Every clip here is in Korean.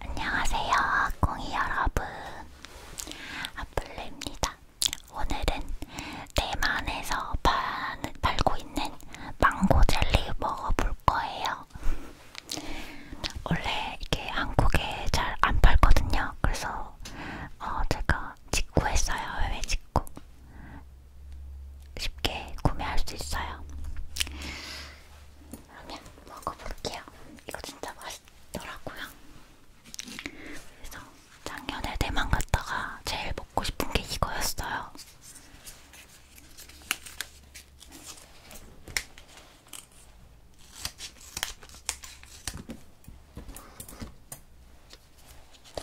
안녕하세요, 공이 여러분. 아플레입니다. 오늘은 대만에서 파, 팔고 있는 망고 젤리 먹어볼 거예요. 원래 이게 한국에 잘 안 팔거든요. 그래서 어, 제가 직구했어요. 해외 직구. 쉽게 구매할 수 있어요. 그러면 먹어볼게요. 이거 진짜 맛있더라고요. 그래서 작년에 대만 갔다가 제일 먹고 싶은 게 이거였어요.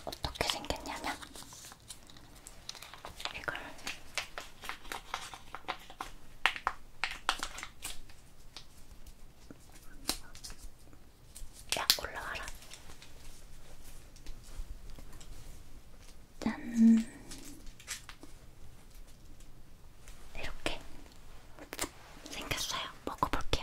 어떻게 생겼냐면 이걸 야 올라와라. 짠. 이렇게 생겼어요. 먹어볼게요.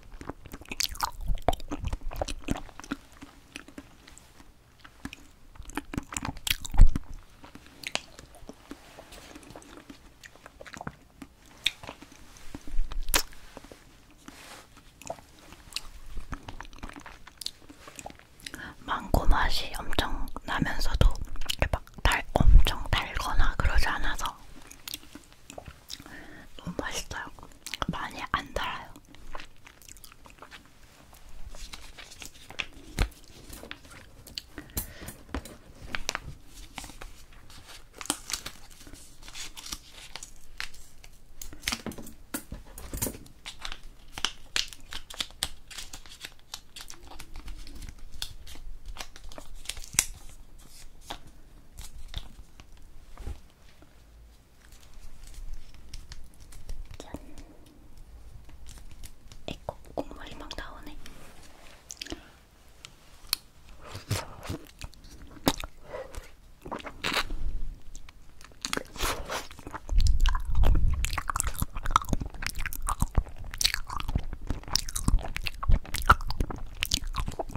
망고 맛이 엄청 나면서도 막 달, 엄청 달거나 그러지 않아서 너무 맛있어요. 많이 안 달아요. 짠. 에코 국물이 막 나오네.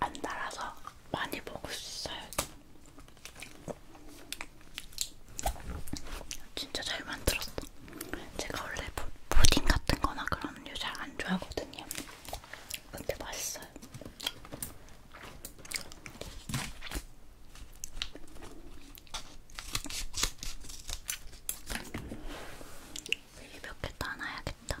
안 달아서 많이 먹을 수 있어요. 진짜 잘 만들었어. 제가 원래 푸딩 같은 거나 그런 류잘 안 좋아하거든요. 근데 맛있어. 있어요. 이게 몇개 따놔야겠다.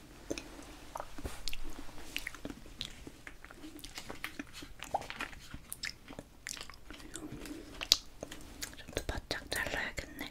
좀더 바짝 잘라야겠네.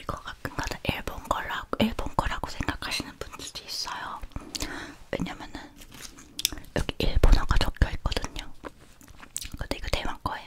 이거 가끔가다 일본 거라고 일본 거라고 생각하시는 분들이 있어요. 왜냐면은 여기 일본어가 적혀 있거든요. 근데 이거 대만 거예요.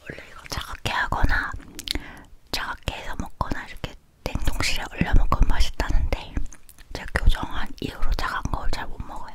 원래 이거 차갑게 하거나 차갑게 해서 먹거나 이렇게 냉동실에 얼려 먹으면 맛있다는데 제가 교정한 이후로 차가운 걸잘 못 먹어요.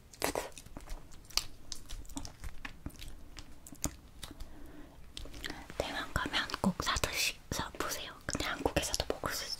대만 가면 꼭 사드시서 보세요. 근데 한국에서도 먹을 수 있어요.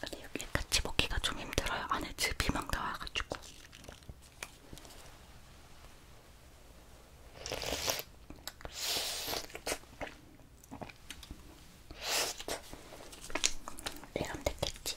근데 여기 같이 먹기가 좀 힘들어요. 안에 즙이 막 나와가지고. 이러면 됐겠지?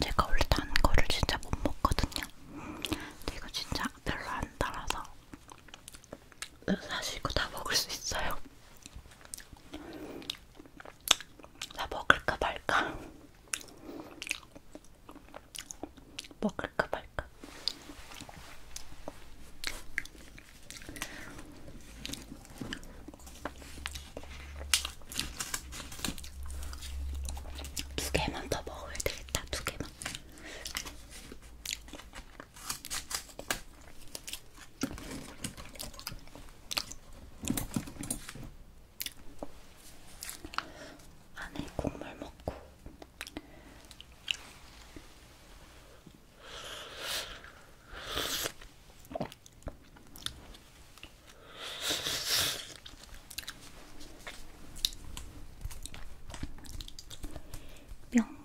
제가 원래 단 거를 진짜 못 먹거든요. 근데 이거 진짜 별로 안 달아서 사실 이거 다 먹을 수 있어요. 나 먹을까 말까? 먹을까 말까? 두 개만 더 먹어야 되겠다. 두 개만. 안에 국물 먹고 명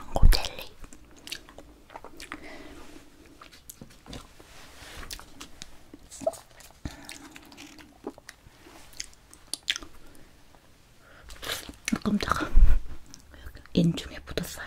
망고 젤리 깜짝아. 인중에 묻었어요.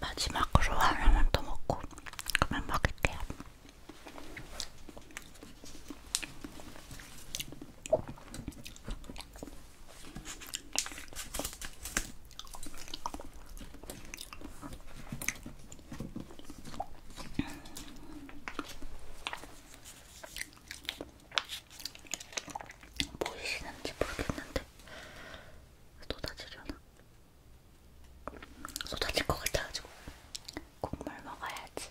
마지막으로 하나만 더 먹고 그만 먹을게요. 보이시는지 모르겠는데 쏟아지려나? 쏟아질 것 같아가지고 국물 먹어야지.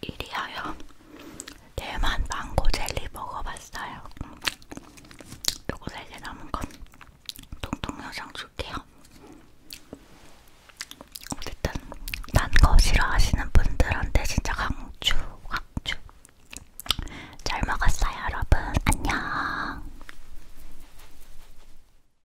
이리하여 대만 망고 젤리 먹어봤어요. 요거 세개 남은 건 통통 여장 줄게요. 어쨌든 단거 싫어하시는 분들한테 진짜 강추 강추. 잘 먹었어요 여러분. 안녕.